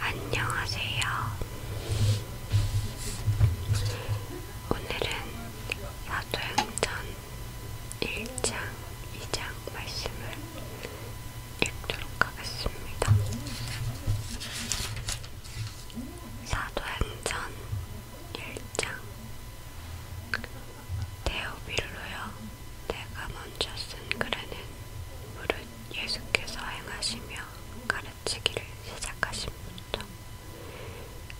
안녕하세요. 오늘은 사도행전 1장, 2장 말씀을 읽도록 하겠습니다. 사도행전 1장 데오빌로여 내가 먼저 쓴 글에는 무릇 예수께서 행하시며 가르치기를 시작하신부터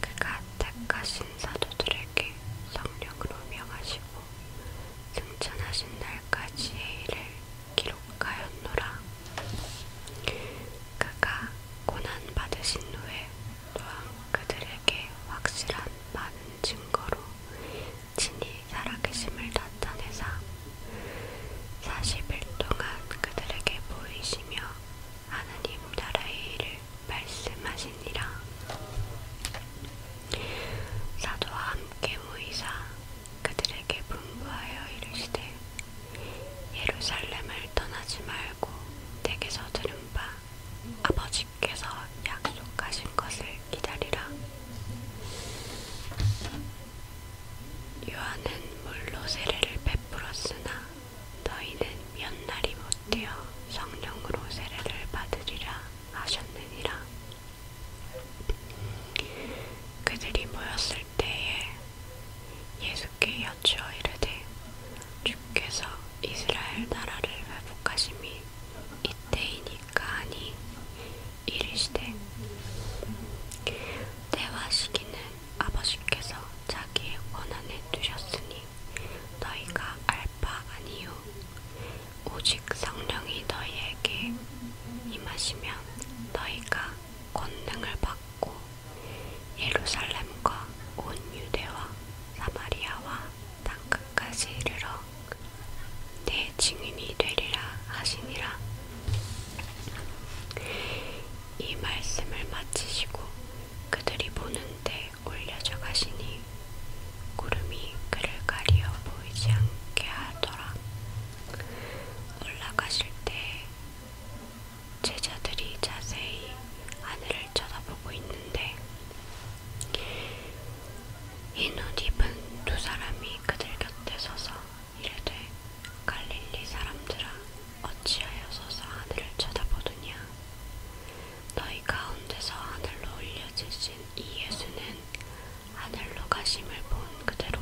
그가 택하신 사도들에게 성령으로 명하시고 승천하신 날까지의 일을 기록하였노라. 그가 고난받으신 후에 또한 그들에게 확실한 많은 증거로 친히 살아계심을 나타내사 40일 동안 그들에게 보이시며 하나님 나라의 일을 말씀하시니라. 사도와 함께 모이사 그들에게 분부하여 이르시되 예루살렘을 떠나지 말고 내게서 들은 바 아버지 아버지께서 약속하신 것을 기다리라. 요한은 물로 세례를 베풀었으나 너희는 몇 날이 못되어 성령으로 세례를 받으리라 하셨느니라. 그들이 모였을 때에 예수께 여쭈어 이르되 주께서 이스라엘 나라를 회복하심이 이 때이니까 니 이르시되 때와 시기는 아버지께서 자기의 원한에 두셨으니 너희가 알바 아니요 오직 성령이 너희에게 임하시면 너희가 권능을 받고 예루살렘과 온 유대와 사마리아와 땅 끝까지 이르러 내 증인이 되리라 하시니라. 이 말씀을 마치시고 그들이 보는데 올려져 가시니 구름이 그를 가리어 보이지 않게 하더라. 올라가실 때 제자들이 자세히 하늘을 쳐다보고 있는데 흰옷 입은 두 사람이 그들 곁에 서서 이르되 갈릴리 사람들아 어찌하여 서서 하늘을 쳐다보느냐 너희 가운데서 하늘로 올려지신 이 예수는 하늘로 가심을 본 그대로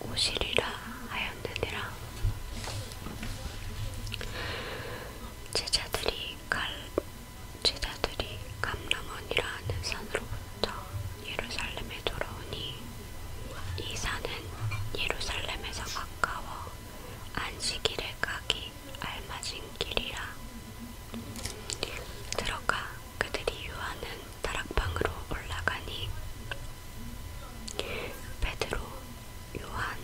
오시리라 하였느니라 제자들이 갈, 제자들이 감람원이라는 산으로부터 예루살렘에 돌아오니 이 산은 예루살렘에서 가까워 안식일에 가기 알맞은 길이라 들어가 그들이 유하는 다락방으로 올라가니 베드로, 요한,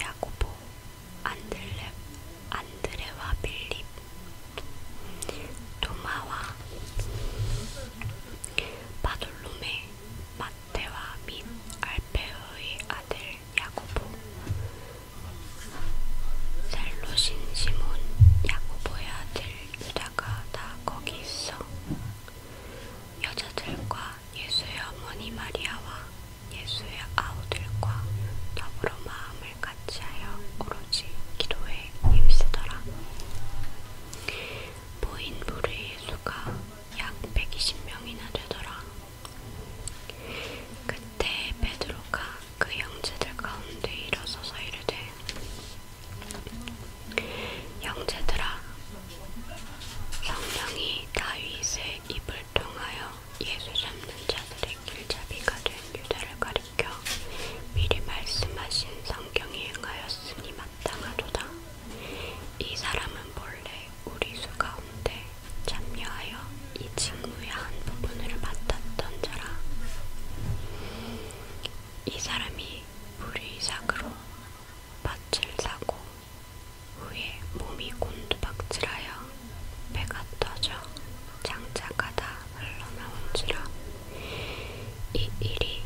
야고보, 안드레, 안드레와 빌립, 도마와 바돌로메, 마테와 및 알페의 아들 야고보, 살로신 시몬, 야고보의 아들 유다가 다 거기 있어. 여자들과 예수의 어머니 마리아와 예수의 아우들과 더불어 마음을 같이하여 오로지 기도에 힘쓰더라. 보인 무리의 수가 약 120명이나 되더라. 그때 베드로가 그 형제들 가운데 일어서서 이르되 형제들아 성령이 다윗의 입을 통하여 예수 잡는 자들의 길잡이가 된 유다를 가리켜 미리 말씀하신 성경이 행하였으니 마땅하도다. 이 사람은 본래 우리 수 가운데 참여하여 이 직무의 한 부분을 맡았던 자라. 이 사람이 불의삭으로 밭을 사고 후에 몸이 곤두박질하여 배가 터져 장자가다 흘러나온지라 이 일이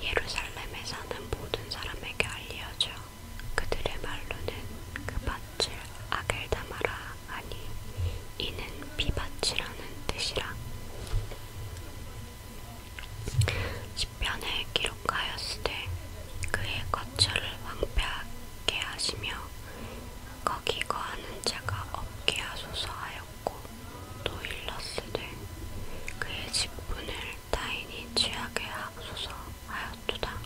예루살렘에 사는 모든 사람에게 알려져 그들의 말로는 그 밭을 아겔다마라 하니 이는 비밭이라는 뜻이라 시편에 기록하였으되 그의 거처를 황폐하게 하시며 거기 거하는 자가 없게 하소서 하였고 또 일렀으되 그의 직분을 타인이 취하게 하소서 하였도다.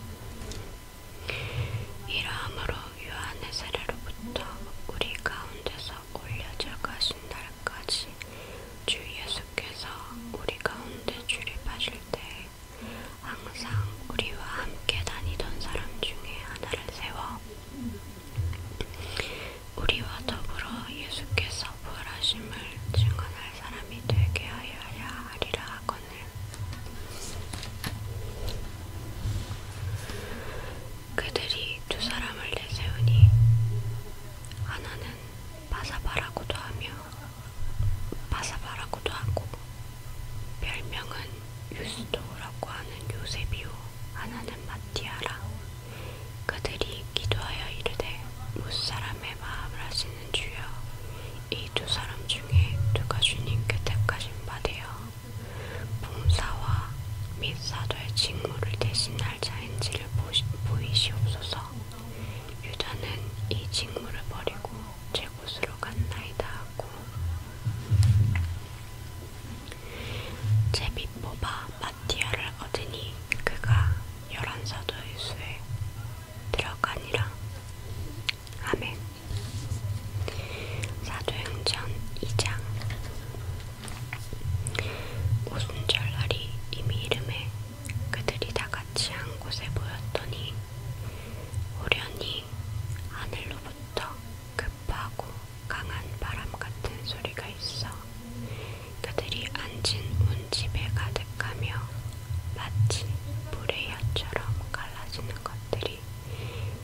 이러함으로 요한의 세례로부터 우리 가운데서 올려져 가신 날까지 주 예수께서 우리 가운데 출입하실 때에 항상 우리와 함께 다니던 사람 중에 하나를 세워 우리와 더불어 예수께서 부활하심을 증언할 사람이 되게 하여야 하리라 하거늘. 그들이 두 사람을 내세우니 하나는 바사바라고도 하며 바사바라고도 하고 별명은 유스토라고 하는 요세비오 하나는 마티아라 그들이 기도하여 이르되 무사람의 마음을 하시는 주여 이 두 사람 중에 누가 주님께 택하신 바되어 봉사와 및 사도의 직무를 대신할 자인지를 보시, 보이시옵소서 유다는 이 직무를 버리고 제 곳으로 갔나이다 하고 있고 제비 뽑아 마티아를 얻으니 그가 열한 사도의 수에 들어가니라. 아멘. 사도행전 2장 오순절 날이 이미 이름에 그들이 다 같이 한 곳에 모였더니 호련히 하늘로부터 급하고 강한 바람 같은 소리가 있어 그들이 앉은 운집에 가득하며 마치 물의 혀처럼 갈라지는 것들이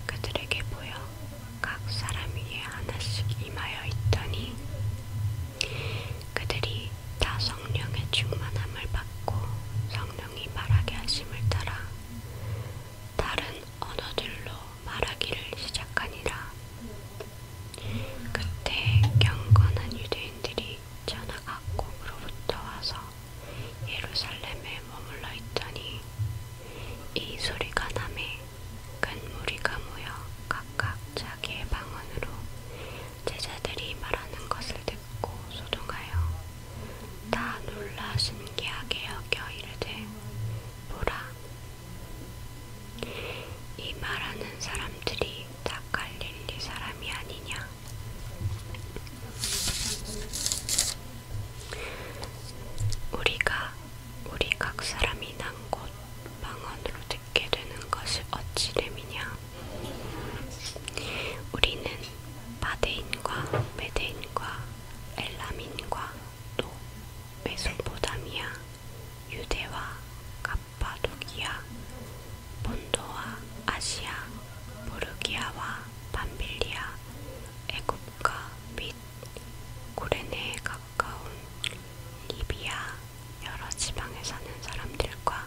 그들에게 보여 각 사람 위에 하나씩 임하여 있더니 그들이 다 성령의 충만함을 받고 성령 성령이 말하게 하심을 따라 다른 언어들로 말하기를 시작하니라. 그때 경건한 유대인들이 천하 각국으로부터 와서 예루살렘에 머물러 있더니 이 소리가 남에 큰 무리가 모여 각각 자기의 방언으로 제자들이 말하는 것을 듣고 맑고 소동하여 다 놀라 신기하게 여겨 이르되 보라 이 말하는 사람들이 다 갈릴리 사람이 아니냐 우리가 우리 각 사람이 난 곳 방언으로 듣게 되는 것이 어찌 됨이냐 우리는 바데인과 메데인과 엘라민과 또 메소포다미아, 유대와 갑바도기아, 본도와 아시아, 부르기아와 밤빌리아, 애굽과 및 고레네에 가까운 리비아 여러 지방에 사는 사람들과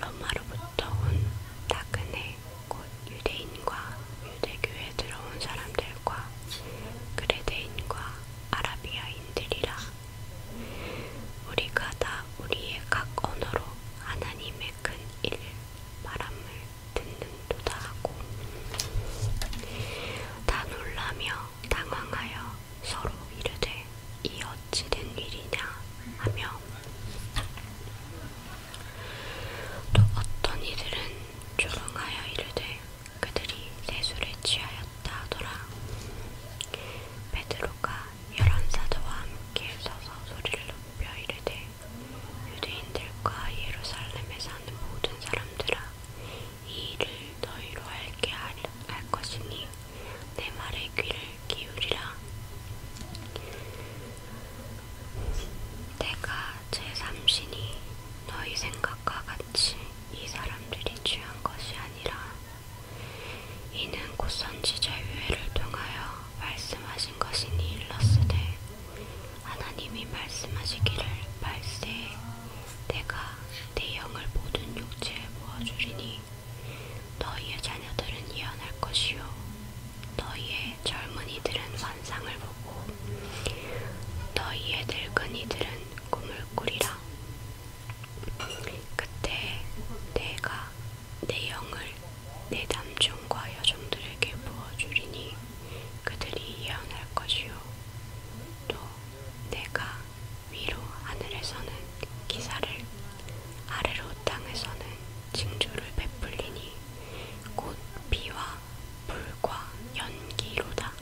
로마로부터 온 나그네 곧 유대인과 유대교에 들어온 사람들과 그레대인과 아라비아인들이라. 우리가 다 우리의 각 언어로 하나님의 큰 일, 바람을 듣는도다 하고 다 놀라며 당황하여 서로 이르되 이 어찌된 일이냐 하며 또 어떤 이들은 조롱하여 이르되 그들이 세술에 취하였다 하더라. 베드로가 열한 사도와 함께 서서 소리를 높여 이르되 유대인들과 예루살렘에 사는 모든 사람들아 이 일을 너희로 알게 할, 할 것이니 내 말의 귀를 기울이라. 내가 제 삼신이 너희 생각과 같이 이 사람들이 취한 것이 아니라 이는 곧 선지자 유해를 통하여 말씀하신 것이니 일렀으되 하나님이 말씀하시기를 말세에 내가 내 영을 모든 육체에 부어주리니 너희의 자녀들은 예언할 것이요 너희의 젊은이들은 환상을 보고 너희의 늙은이들은 꿈을 꾸리라 그때 내가 내 영을 내 남종과 여종들에게 부어주리니 그들이 예언할 것이요 또 내가 위로 하늘에서는 기사를 아래로 땅에서는 징조를 베풀리니 곧 비와 불과 연기로다.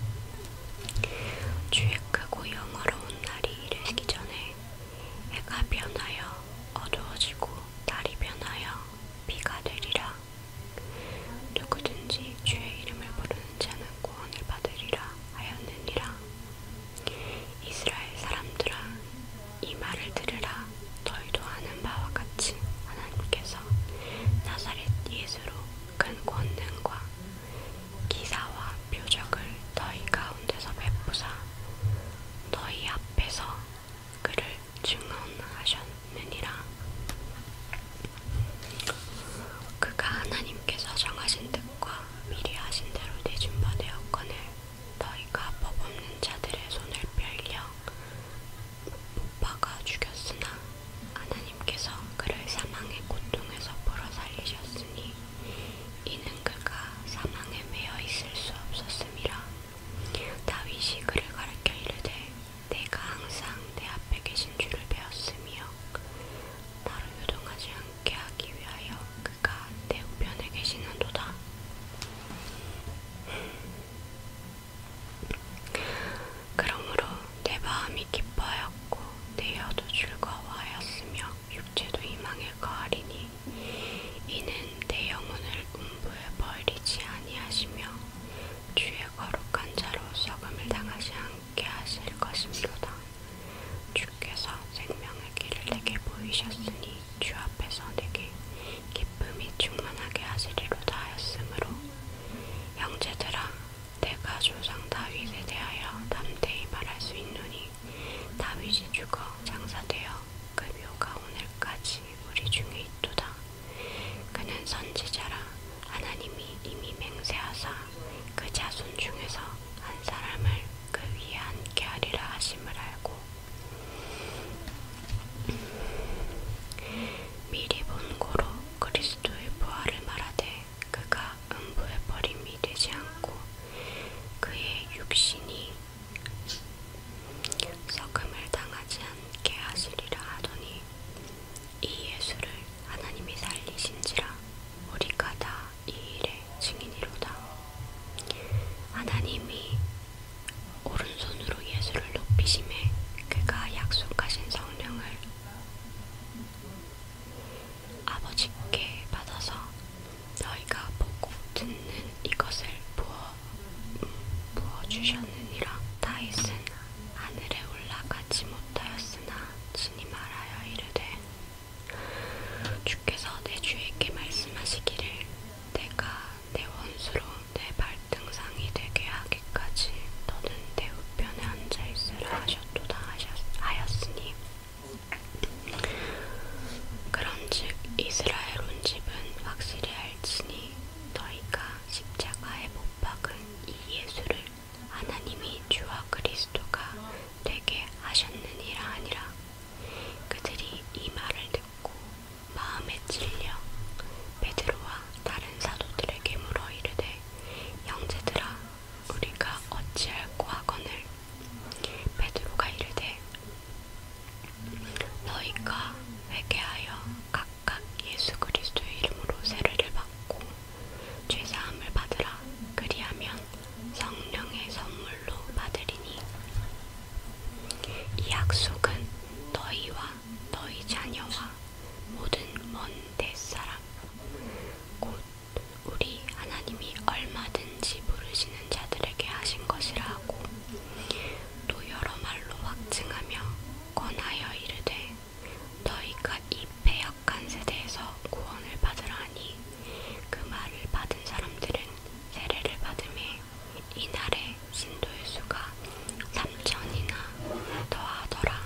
주의 크고 영어로운 날이 이르기 전에 해가 변하여 어두워지고 날이 변하여 비가 되리라. 누구든지 주의 이름을 부르는 자는 구원을 받으리라 하였느니라. 이스라엘 사람들아 이 말을 들으라 너희도 아는 바와 같이 하나님께서 나사렛 예수로 큰 권능과 기사와 표적을 너희 가운데서 베푸사 너희 앞에서 그를 증언하셨느니라 그가 하나님께서 정하신 뜻과 미리 하신 대로 되준 바 되었거늘 너희가 법없는 자들의 손을 뺄려 못박아 죽였으나 하나님께서 그를 사망의 고통에서 불어 살리셨으니 이는 그가 사망에 매여 있을 수 없었음이라 다윗이 그를 가르켜 이르되 내가 항상 내 앞에 계신 줄을 배웠으며 나로 요동하지 않게 하기 위하여 그가 그러니까 내 우편에 계시는도다. 그러므로 내 마음이 기뻐하였고 내 혀도 즐거워하였으며 육체도 희망에 가하리니 이는 내 영혼을 음부에 벌리지 아니하시며 주의 거룩한 자로 썩음을 당하지 않게 하실 것입니다. 주께서 생명의 길을 내게 보이셨으니 주 앞에서 내게 기쁨이 충만하게 하시리로다 하였으므로 형제들아 내가 조상 다윗에 대하여 담대히 말할 수 있노니 다윗이 죽어 장사되어 그 묘가 오늘까지 우리 중에 있도다 그는 선지자라 하나님이 이미 맹세하사 그 자손 중에서 한 사람을 그 위에 앉게 하리라 하심을 알고 미리 본고로 그리스도의 부활을 말하되 그가 음부의 버림이 되지 않고 그의 육신이 썩음을 당하지 않게 하시리라 하더니 이 예수를 하나님이 살리신지라 우리가 다 이 일에 증인이로다. 하나님이 오른손으로 예수를 높이심에 그가 약속하신 성령을 아버지께 받아서 너희가 보고 듣는 이것을 부어, 음, 부어주셨느니라. 다윗은 하늘에 올라가지 못하였으나 진이 말하여 이르되 주께서 내 주에게 말씀하시기를 내가 내 원수로 내 발등상이 되게 하기까지 너는 내 우편에 앉아 있으라 하셨도다 하였으니 그런즉 이스라엘 온 집은 확실히 알지니 너희가 십자가에 못 박은 이 예수를 하나님이 주와 그리스도가 되게 하셨느니라 하니라 그들이 이 말을 듣고 마음에 찔려 베드로와 다른 사도들에게 물어 이르되 형제들아 우리가 어찌할꼬 하거늘 베드로가 이르되 너희가 회개하여 각각 예수 그리스도의 이름으로 세례를 받고 죄사함을 받으라 그리하면 성령의 선물로 받으리니 이 약속은 너희와 너희 자녀와 모든 먼데 사람 곧 우리 하나님이 얼마든지 부르시는 자들에게 하신 것이라 하고 또 여러 말로 확증하며 권하여 이르되 너희가 이 패역한 세대에서 구원을 받으라 하니 그 말을 받은 사람들은 세례를 받음에 이날에 신도의 수가 3천이나 더하더라.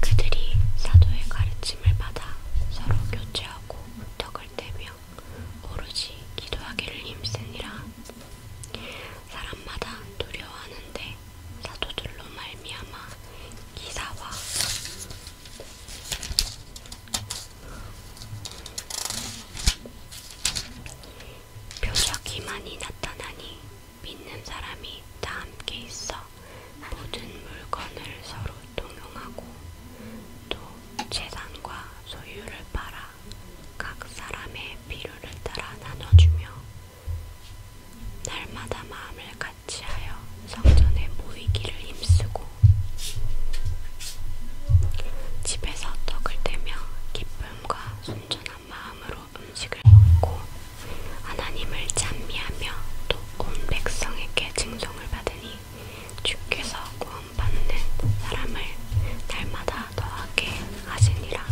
그들이 사도의 가르침을 받아 서로 교제하고 덕을 떼며 오로지 기도하기를 힘쓰니라. 사람마다 두려워하는데 사도들로 말미암아 기사와 표적이만이 나타나니 믿는 사람이 다 함께 있어 모든 물건을 서로 동용하고 또 재산과 소유를 팔아 각 사람의 필요를 따라 나눠주며 날마다 마음을 같이하여 성전에 모이기를 힘쓰고 집에서 떡을 떼며 기쁨과 순전한 마음으로 음식을 먹고 하나님을 찬미하며 또 온 백성에게 증송을 받으니 주께서 구원받는 사람을 날마다 더하게 하시니라.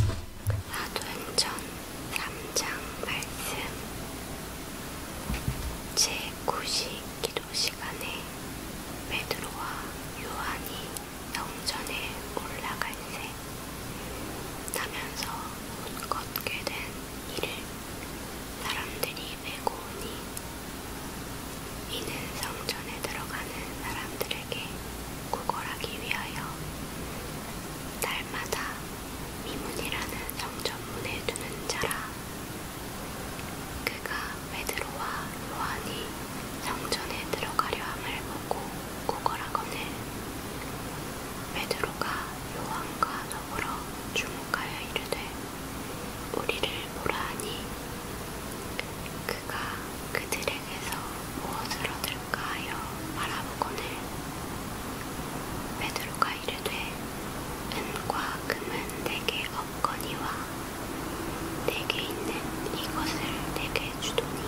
사도행전 3장 말씀 제9시 기도 시간에 베드로와 요한이 영전에 올라갈새 타면서 못 걷게 된 이를 사람들이 메고 오니 이는 성전에 들어가는 사람들에게 구걸하기 위하여 날마다 미문이라는 성전문에 두는 자라 그가 베드로와 요한이 성전에 들어가려 함을 보고 구걸하거늘 베드로가 요한과 더불어 주목하여 이르되 우리를 보라 하니 그가 그들에게서 무엇을 얻을까 하여 바라보거늘 베드로가 이르되 은과 금은 내게 없거니와 내게 있는 이것을 내게 주도니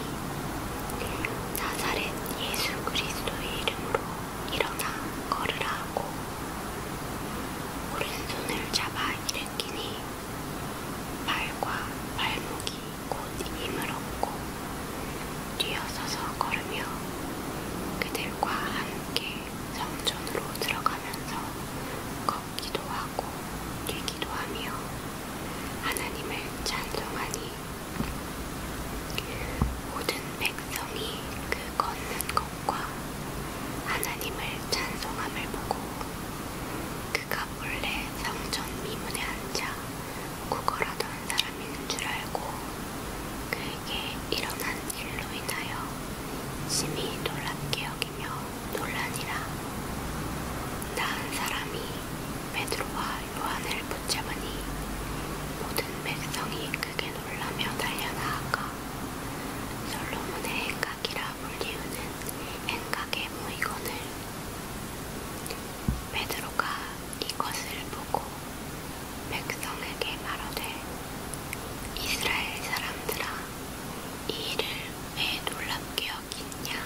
나사렛 예수 그리스도의 이름으로 일어나 걸으라 하고 오른손을 잡아 일으키니 발과 발목이 곧 힘을 얻고 뛰어서서 걸으며 그들과 함께 성전으로 들어가면서 걷기도 하고 뛰기도 하며 하나님을 찬송하니 모든 백성이 그 걷는 것과 하나님을 찬송함을 보고 그가 본래 성전 미문에 앉아 구걸하던 사람인 줄 알고 그에게 일어난 일로 인하여 심히 놀랍게 여기며 놀라니라. 나은 사람이 베드로와 요한을 붙잡으니 모든 백성이 크게 놀라며 달려나아가 솔로몬의 행각이라 불리우는 행각의 무이건을 베드로가 이것을 보고 백성에게 말하되 이스라엘 사람들아 이 일을 왜 놀랍게 여기냐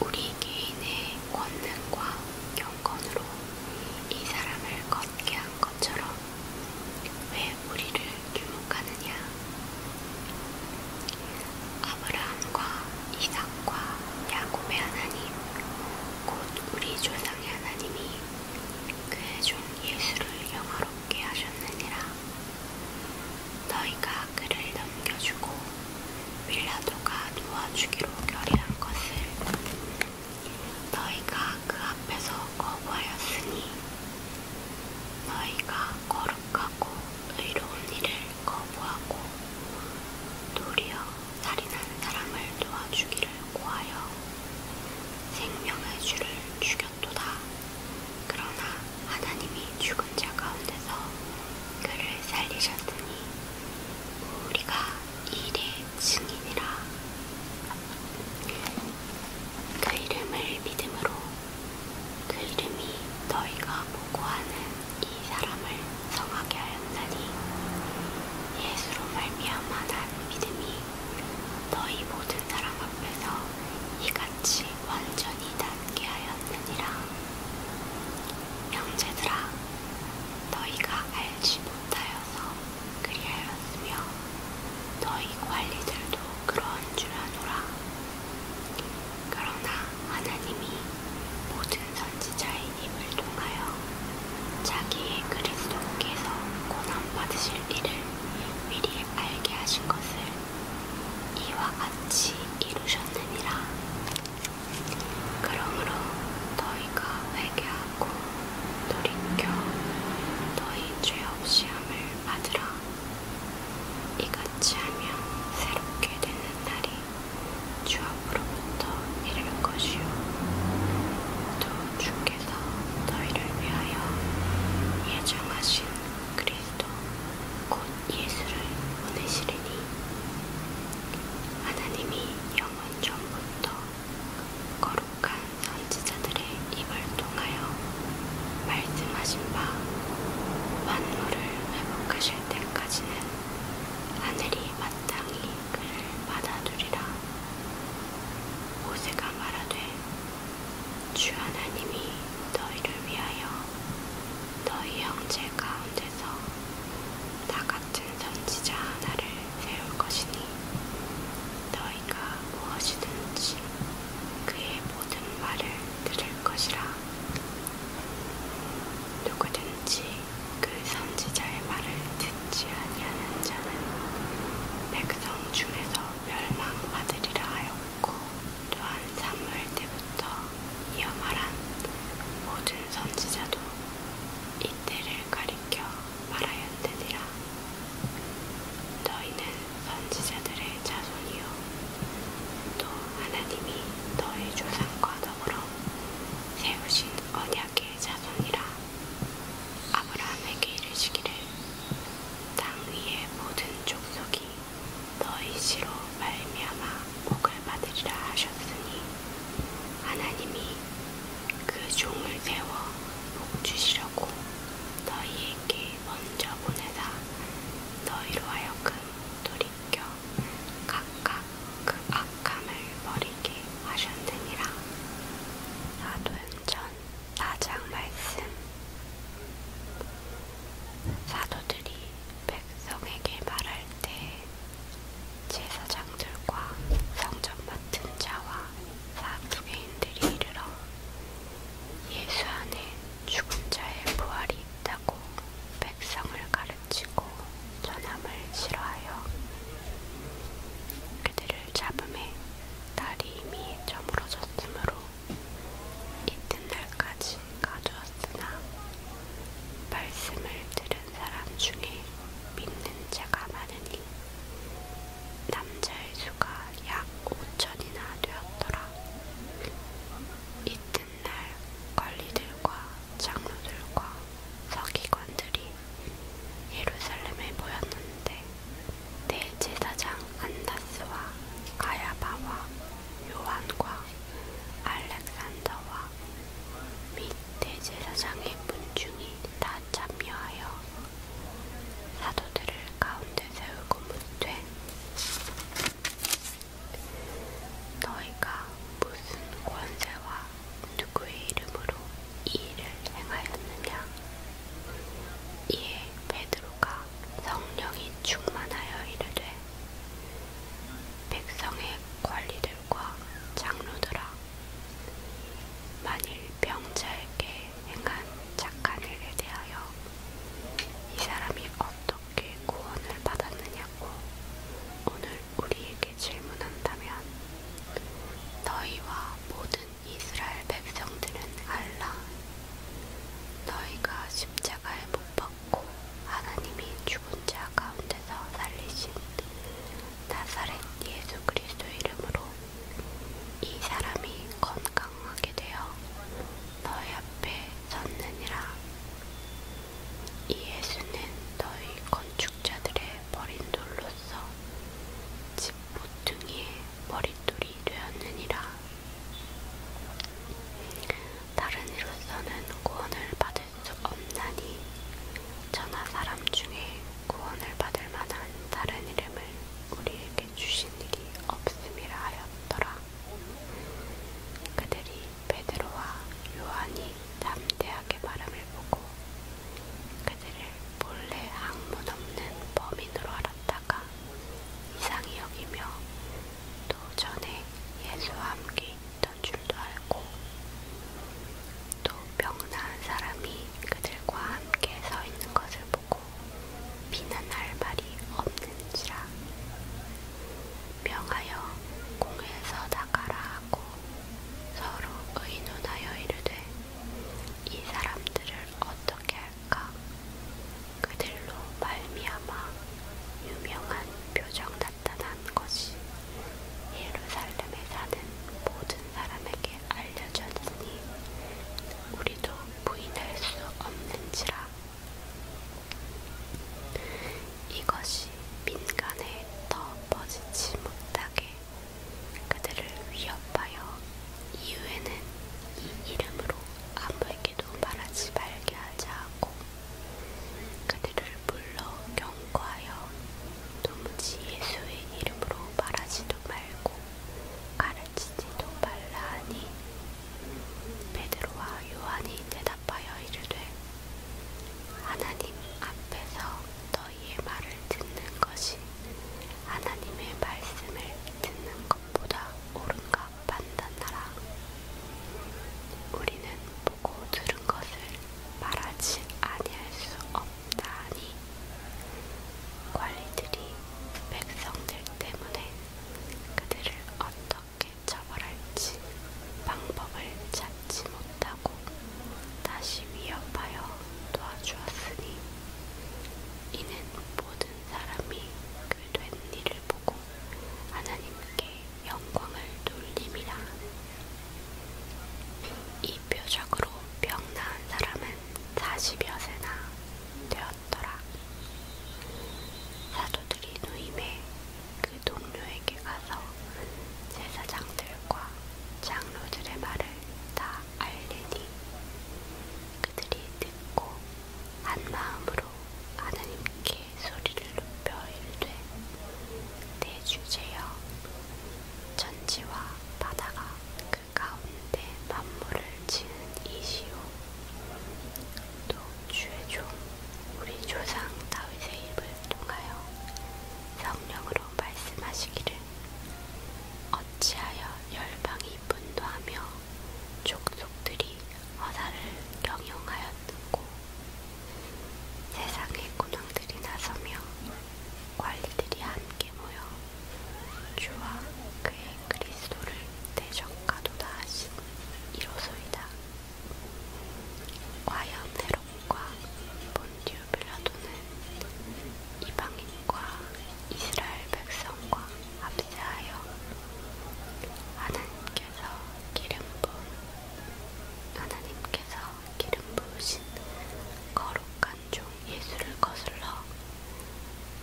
우리 개인의 권능과 경건으로 이 사람을 걷게 한 것처럼 왜 우리를 유혹하느냐 아브라함과 이삭과 야곱의 하나님 곧 우리 조상의 하나님이 그의 종 예수를 영화롭게 하셨느니라. 너희가 그를 넘겨주고 빌라도가 놓아주기로 결의한 것을 너희가 그 앞에서 거부하였으니 너희가 거룩하고 의로운 일을 거부하고 도리어 살인한 사람을 도와주기를 고하여 생명의 주를 죽였도다. 그러나 하나님이 죽은 자 가운데서 그를 살리셨으니 우리가 일의 증인이라. 그 이름을 믿음으로 그 이름이 너희가 보고하는 이 사람을 성하게 하였나니 예수로 말미암아 난 믿음이 너희 모든 사람 앞에서 이같이 완전히 단계하였느니라. 형제들아, 너희가 알지 못하여서 그리하였으며 너희 관리들도 그러한 줄 아노라. 그러나 하나님이 모든 선지자의 입을 통하여 자기의 그리스도께서 고난받으실 일을 미리 알게 하신 것을 이와 같이 이루셨느니라. 그러므로 너희가 회개하고 돌이켜 너희 죄 없이 함을 받으라. 이같이 하면 새롭게 되는 날이 주 앞으로부터 이를 것이요. 또 주께 하나님께서 너희를 위하여 예정하신 그리스도 곧 예수를 보내시리니 하나님이 영원 전부터 거룩한 선지자들의 입을 통하여 말씀하신 바 만물을 회복하실 때까지는 하늘이 마땅히 그를 받아들이라 모세가 말하되 주 하나님이 너희를 위하여 너희 형제 가운데서 나 같은 선지자 하나를 세울 것이니 너희가 무엇이든지 그의 모든 말을 들을 것이라 누구든지 그 선지자의 말을 듣지 아니하는 자는 백성 중에서 멸망받으리라 하였고 또한 사무엘 때부터 이어 말한 모든 선지자도 이때를 가리켜 말하였느니라 너희는 선지자들의 자손이요 또 하나님이 너희 조상과 더불어 세우신 언약의 자손이라 아브라함에게 이르시기를 땅 위의 모든 족속이 너희 시로 말미암아 복을 받으리라 하셨으니 하나님이 그 종을 세워 복 주시려고 너희에게 먼저 보내다 너희로 하여금 돌이켜 각각 그 악함을 버리게 하셨느니라. 사도행전 4장 말씀 사도들이 백성에게 말할 때 제사장들과 성전 맡은 자와 사두개인들이 이르러 예수 안에 죽은 자의 부활이 있다고 백성을 가르치고 전함을 싫어하여 그들을 잡음에 달이 이미 저물어져 구므로 이튿날까지 가두었으나 말씀을 들은 사람 중에 믿는 자가 많으니 남자의 수가 약 5천이나 되었더라. 이튿날 관리들과 장로들과 서기관들이 예루살렘에 모였는데 대제사장 안다스와 가야바와 요한과 알렉산더와 및 대제사장의 문중이 다 참여하여 사도들을 가운데 세우고 묻되 너희가 무슨 권세와 누구의 이름으로 이 일을 행하였느냐? 이에 베드로가 성령이 충만하여 이르되 백성의 관리들과 장로들아 만일 병자에게 행한 착한 일에 대하여 이 사람이 어떻게 구원을 받았느냐고 오늘 우리에게 질문한다면 너희와 모든 이스라엘 백성들은 알라 너희가 십자가에 못 박고 하나님이 죽은 자 가운데서 살리신 나사렛 예수 그리스도 이름으로 이 사람이 건강하게 되어 너희 앞에 섰느니라 이 예수는 너희 건축자들의 버린 돌로서 집 모퉁이에 머릿돌이 되었느니라. 다른 이로서는 구원을 받을 수 없나니 천하 사람 중에 구원을 받을 만한 다른 이름을 우리에게 주신 일이 없음이라 하였더라. 그들이 베드로와 요한이 담대하게 바람을 보고 그들을 본래 학문 없는 범인으로 알았다가 이상히 여기며 또 전에 예수와 함께 있던 줄도 알고 또 병나은 사람이 그들과 함께 서 있는 것을 보고 비난할 말이 없는지라 명하여 공회에서 나가라 하고 서로 의논하여 이르되 이 사람들을 어떻게 할까? 그들로 말미암아 유명한 표정 나타난 것이 예루살렘에 사는 모든 사람에게 알려졌으니 우리도 부인할 수 없는지라. 이것이 민간에 더 퍼지지 못하게 그들을 위협하여 이후에는 이 이름으로 아무에게도 말하지 말게 하자 하고 그들을 불러 경고하여 도무지 예수의 이름으로 말하지도 말고 가르치지도 말라 하니 베드로와 요한이 대답하여 이르되 하나님 앞에서 더 너희의 말을 듣는 것이 하나님의 말씀을 듣는 것보다 옳은가 판단하라. 우리는 보고 들은 것을 말하지 아니할 수 없다 하니 관리들이 백성들 때문에 그들을 어떻게 처벌할지 방법을 찾지 못하고 하고 다시 위협하여 도와주었으니 이는 모든 사람이 그 된 일을 보고 하나님께 영광을 돌림이라 이 표적으로 병나은 사람은 40여세나 되었더라 사도들이 누임에 그 동료에게 가서 제사장들과 장로들의 말을 다 알리니 그들이 듣고 한 마음으로 하나님께 소리를 높여 일되 내 주제여 천지와 바다가 그 가운데 만물을 지은 이시오 또 주의 종 우리 조상 다윗의 입을 통하여 성령으로 말로 말씀하시기를 어찌하여 열방이 분노하며 족속들이 허사를 경영하였는고 세상의 군왕들이 나서며 관리들이 함께 모여 주와 그의 그리스도를 대적가도다 하신 이로소이다. 과연 해로 영국과 본듀빌라도는 이방인과 이스라엘 백성과 합세하여 하나님께서 기름 부은 하나님께서 기름 부으신 거룩한 종 예수를 거슬러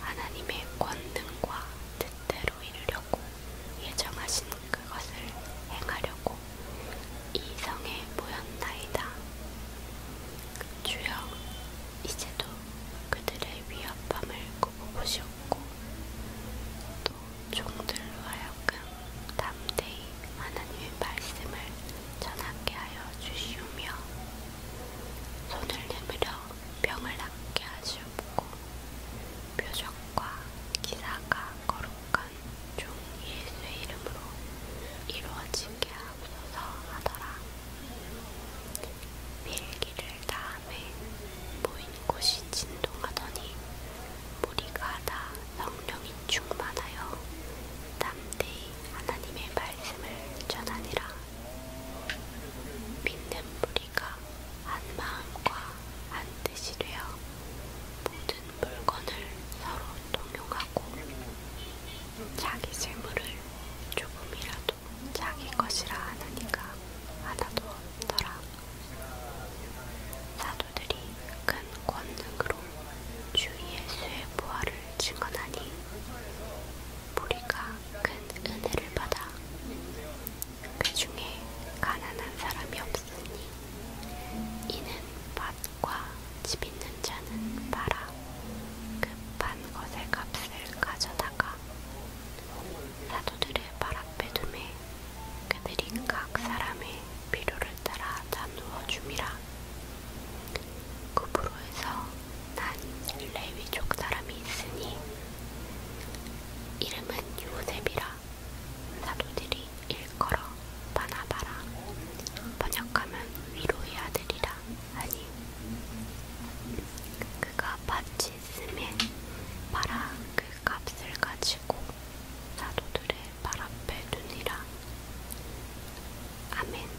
하나님의 권능과 뜻대로 이루려고 예정하신 그것을 행하려고 이성에 모였나이다. 주여, 이제도 그들의 위협함을 굽어보시옵고, 또 종들로 하여금 담대히 하나님의 말씀을 전하게 하여 주시오며, 손을 내밀어 병을 낫게 하시옵고, 표적과 기사가 거룩한 약간 중 예수의 이름으로 이루어지게 하옵소서 하더라. 밀기를 다음에 모인 곳이 진동하더니 무리가 다 성령이 충만하여 담대히 하나님의 말씀을 전하니라. 믿는 무리가 한 마음과 한 뜻이 되어 모든 물건을 서로 동용하고 자기 재물을 조금이라도 자기 것이라 하느니가 하나도 없더라. 사도들이 큰 권능으로 주 예수의 부활을 증언하니 무리가 큰 은혜를 받아 그 중에 가난한 사람이 없으니 이는 바로 과집 있는 자는 팔아 급한 것의 값을 가져다가 사도들의 발 앞에 두매 그들이 각 사람의 필요를 따라 나누어 줌이라 구부로에서 난 레위족 사람이 있으니 이름은 요셉이라 사도들이 일컬어 바나바라 번역하면 위로의 아들이라 하니 그가 바치 스에 바라 그 값을 가지고 사도들의 발 앞에 두니라 아멘